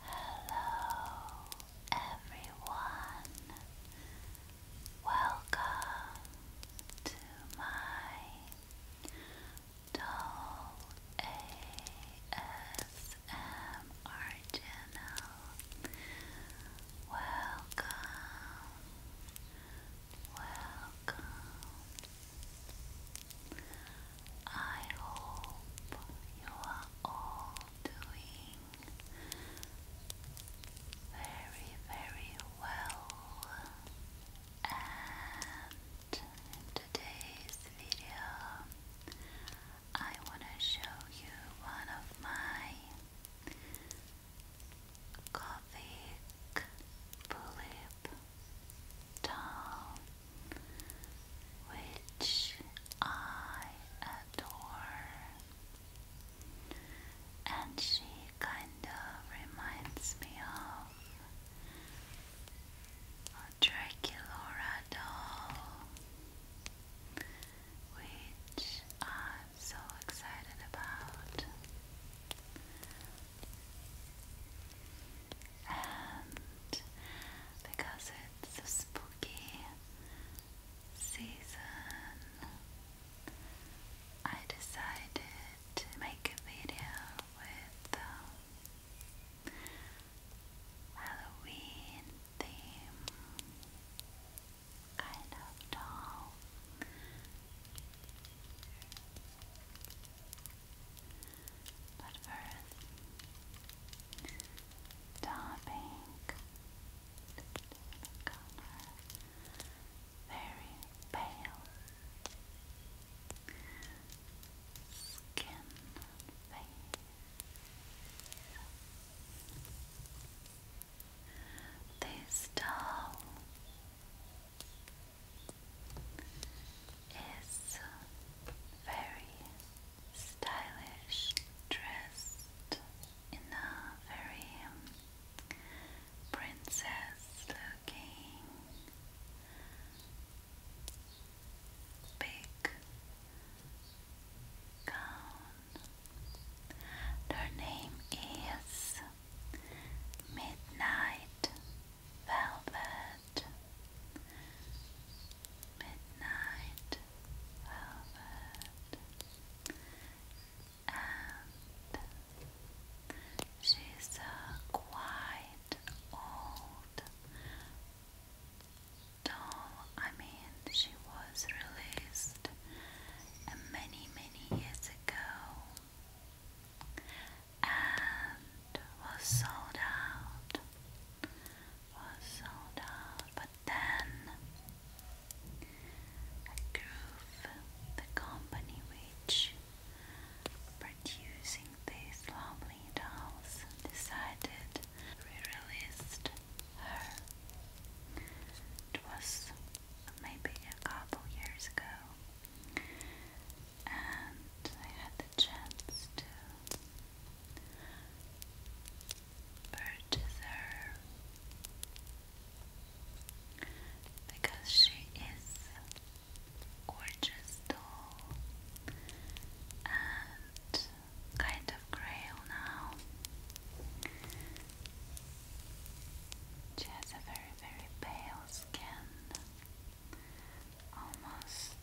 Hello, everyone. Welcome to my Doll ASMR Welcome, welcome. I hope you are all doing very, very well. And today's video, I want to show you one of my Coffee Tulip down, which I adore. And she kind of reminds me of a Draculaura doll, which I'm so excited about and because it's a spooky season, I decided to make a video with um, Halloween theme, kind of doll. But earth, dark color, very pale skin and face is very stylish, dressed in a very um, princess looking big gown. Their name is Midnight velvet, midnight velvet, and she's a quite old doll. I mean, she was released many, many years ago and was sold out. Was sold out, but then Groove, the company which producing these lovely dolls, decided re-released her. It was maybe a couple years ago and I had the chance to purchase her because she is gorgeous doll and kind of grey now. She has a very, very pale skin almost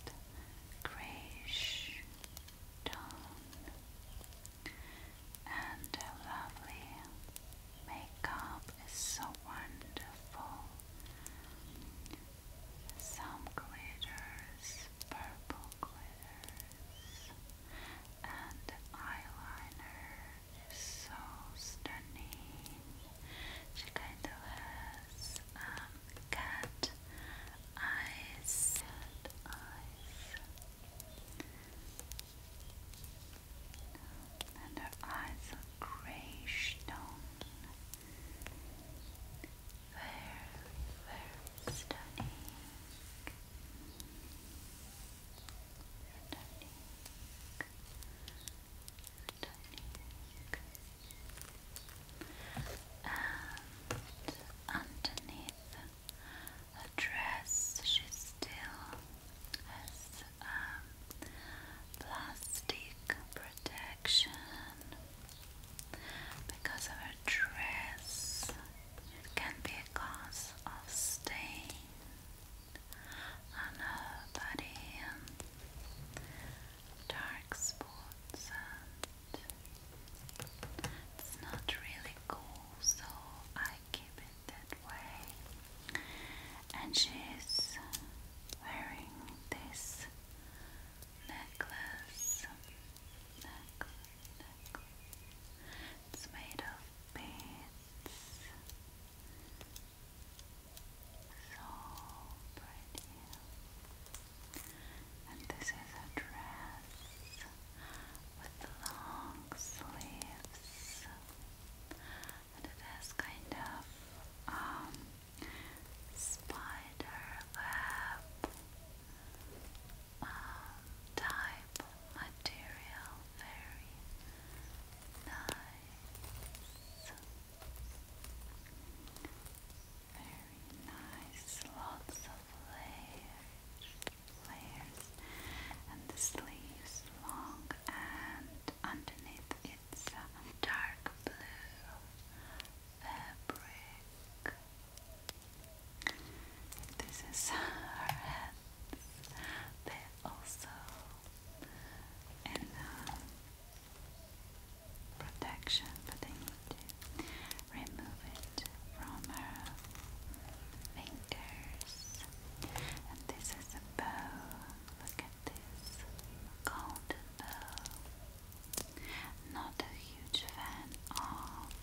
grayish tone, and lovely makeup is so wonderful. Some glitters, purple glitters, and eyeliner is so stunning. She kind of has um, cat eyes. And her eyes are grey stone. Very, very Stunning underneath her dress she still has plastic protection because of her dress can be a cause of stain on her body and dark spots it's not really cool so I keep it that way and she's wearing this necklace necklace, necklace. it's made of beads so pretty. And this is a dress with long sleeves. And it has kind of um spider um, type material. Very nice. Very nice, lots of layers, layers, and the sleeves long, and underneath it's dark blue fabric. This is her head. They also and uh, protection, but I need to remove it from her fingers. And this is a bow. Look at this golden bow. Not a huge fan of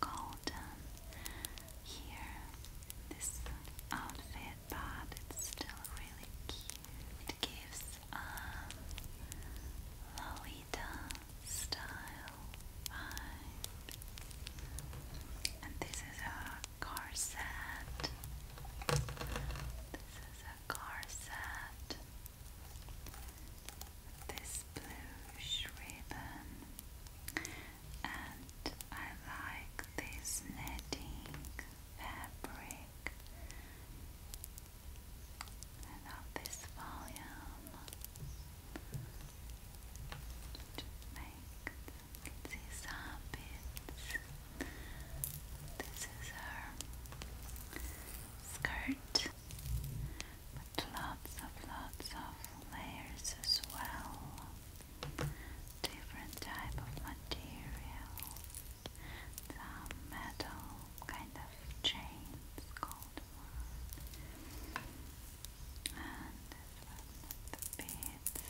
golden here. This outfit, but it's still really cute. It gives um Lolita style vibe. And this is a corset. This is a corset. This blue ribbon, and I like this netting fabric and of this volume to make you can see some bits. This is her skirt, but lots of lots of layers as well different type of material, some metal kind of chains called and the beads.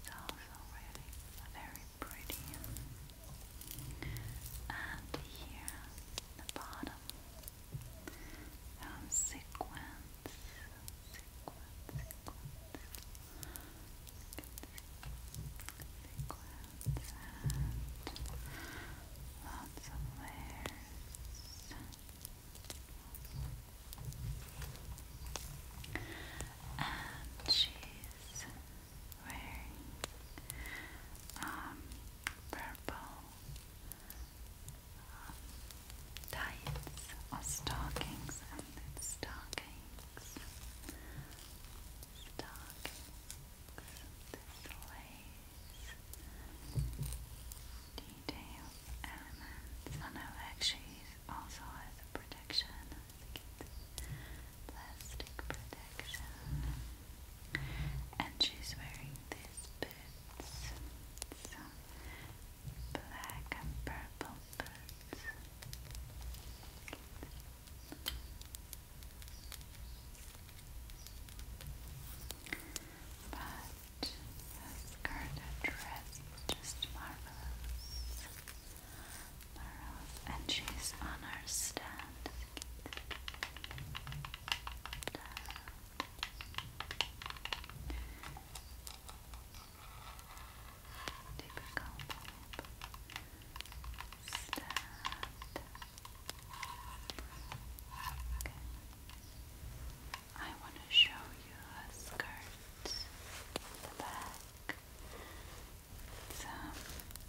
It's also really very pretty. And here, the bottom, some sequins lots of layers. And she's wearing um purple tights or stockings and then stockings stockings this lace detail elements I oh, know actually also has a protection plastic protection and she's wearing these boots black and purple but this garter dress just marvelous. Marvelous. And she's on her Stand. Typical I want to show you a skirt the back. It's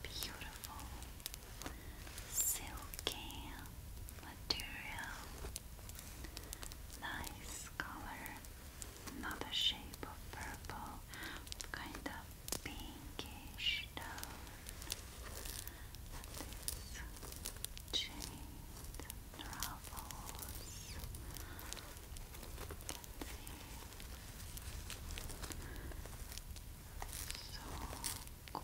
beautiful silky material. Nice color another shape of purple, kind of pinkish tone. This chains and ruffles. So cool.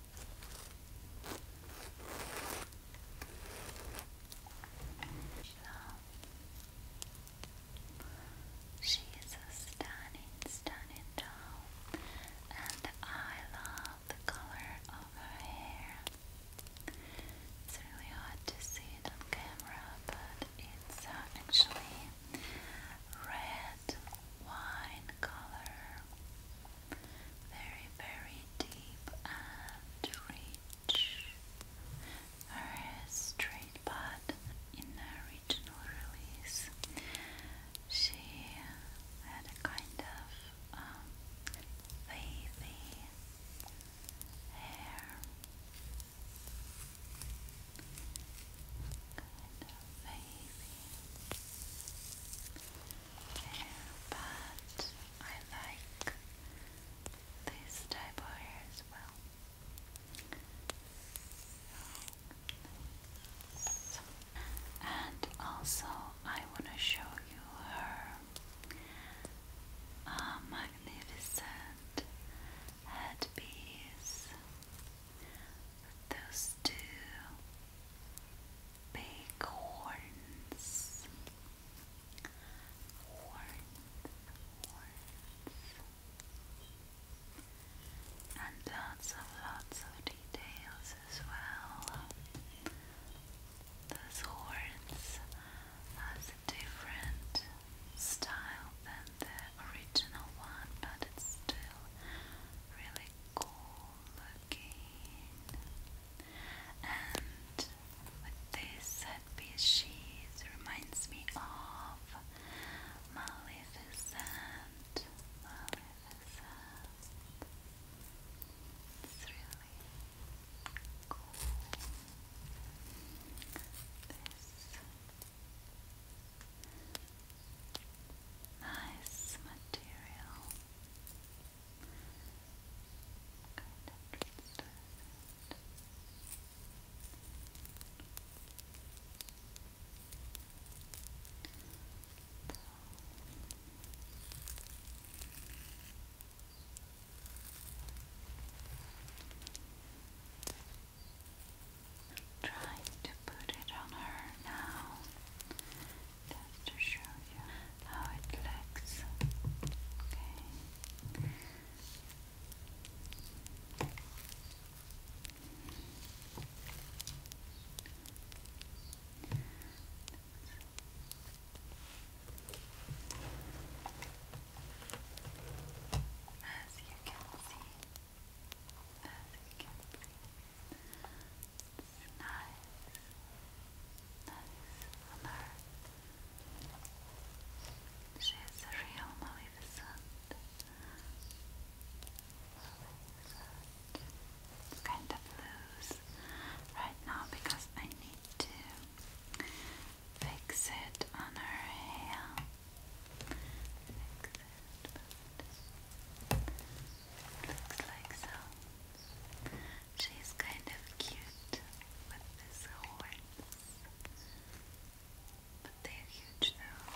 She is a stunning, stunning doll, and I love the color of her hair. It's really hard to see it on camera, but it's actually red wine color very, very deep and rich. Her straight but inner regional release. She had a kind of um, hair. Kind of wavy hair, but I like this type of hair as well. and also, I want to show you her uh, magnificent headpiece. Those two big horns. Horns, horns. And lots of lots of details as well. Those horns has a different style than the original one, but it's still really cool looking. And with this headpiece, she reminds me of Maleficent. Maleficent. It's really cool. This nice material. Trying to put it on her now just to show you how it looks. Okay. As you can see, as you can see, nice, nice on her. a real Maleficent. Maleficent. It's kind of loose right now because I need to fix it on her hair. Fix it, Looks like so. She's kind of cute with this horns. But they're huge though.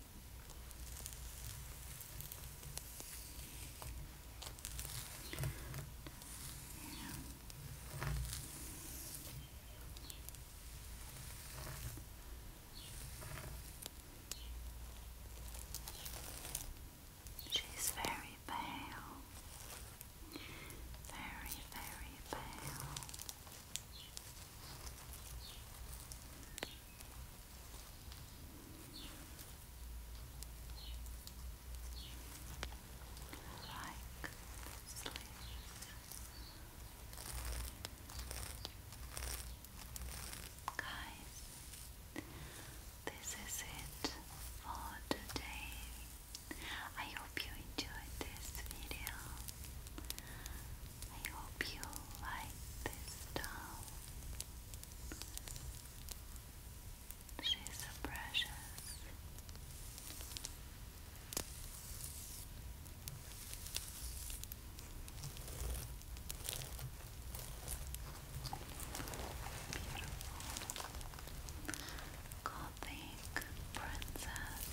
She's very pale, very, very pale like Guys, this is it for today. I hope you enjoyed this video. I hope you like this doll. She's precious. Beautiful Gothic princess.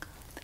Gothic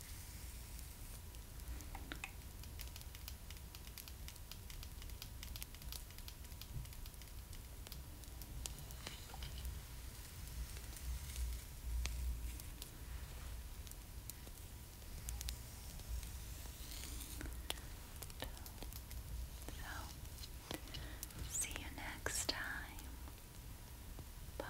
So, see you next time. Bye.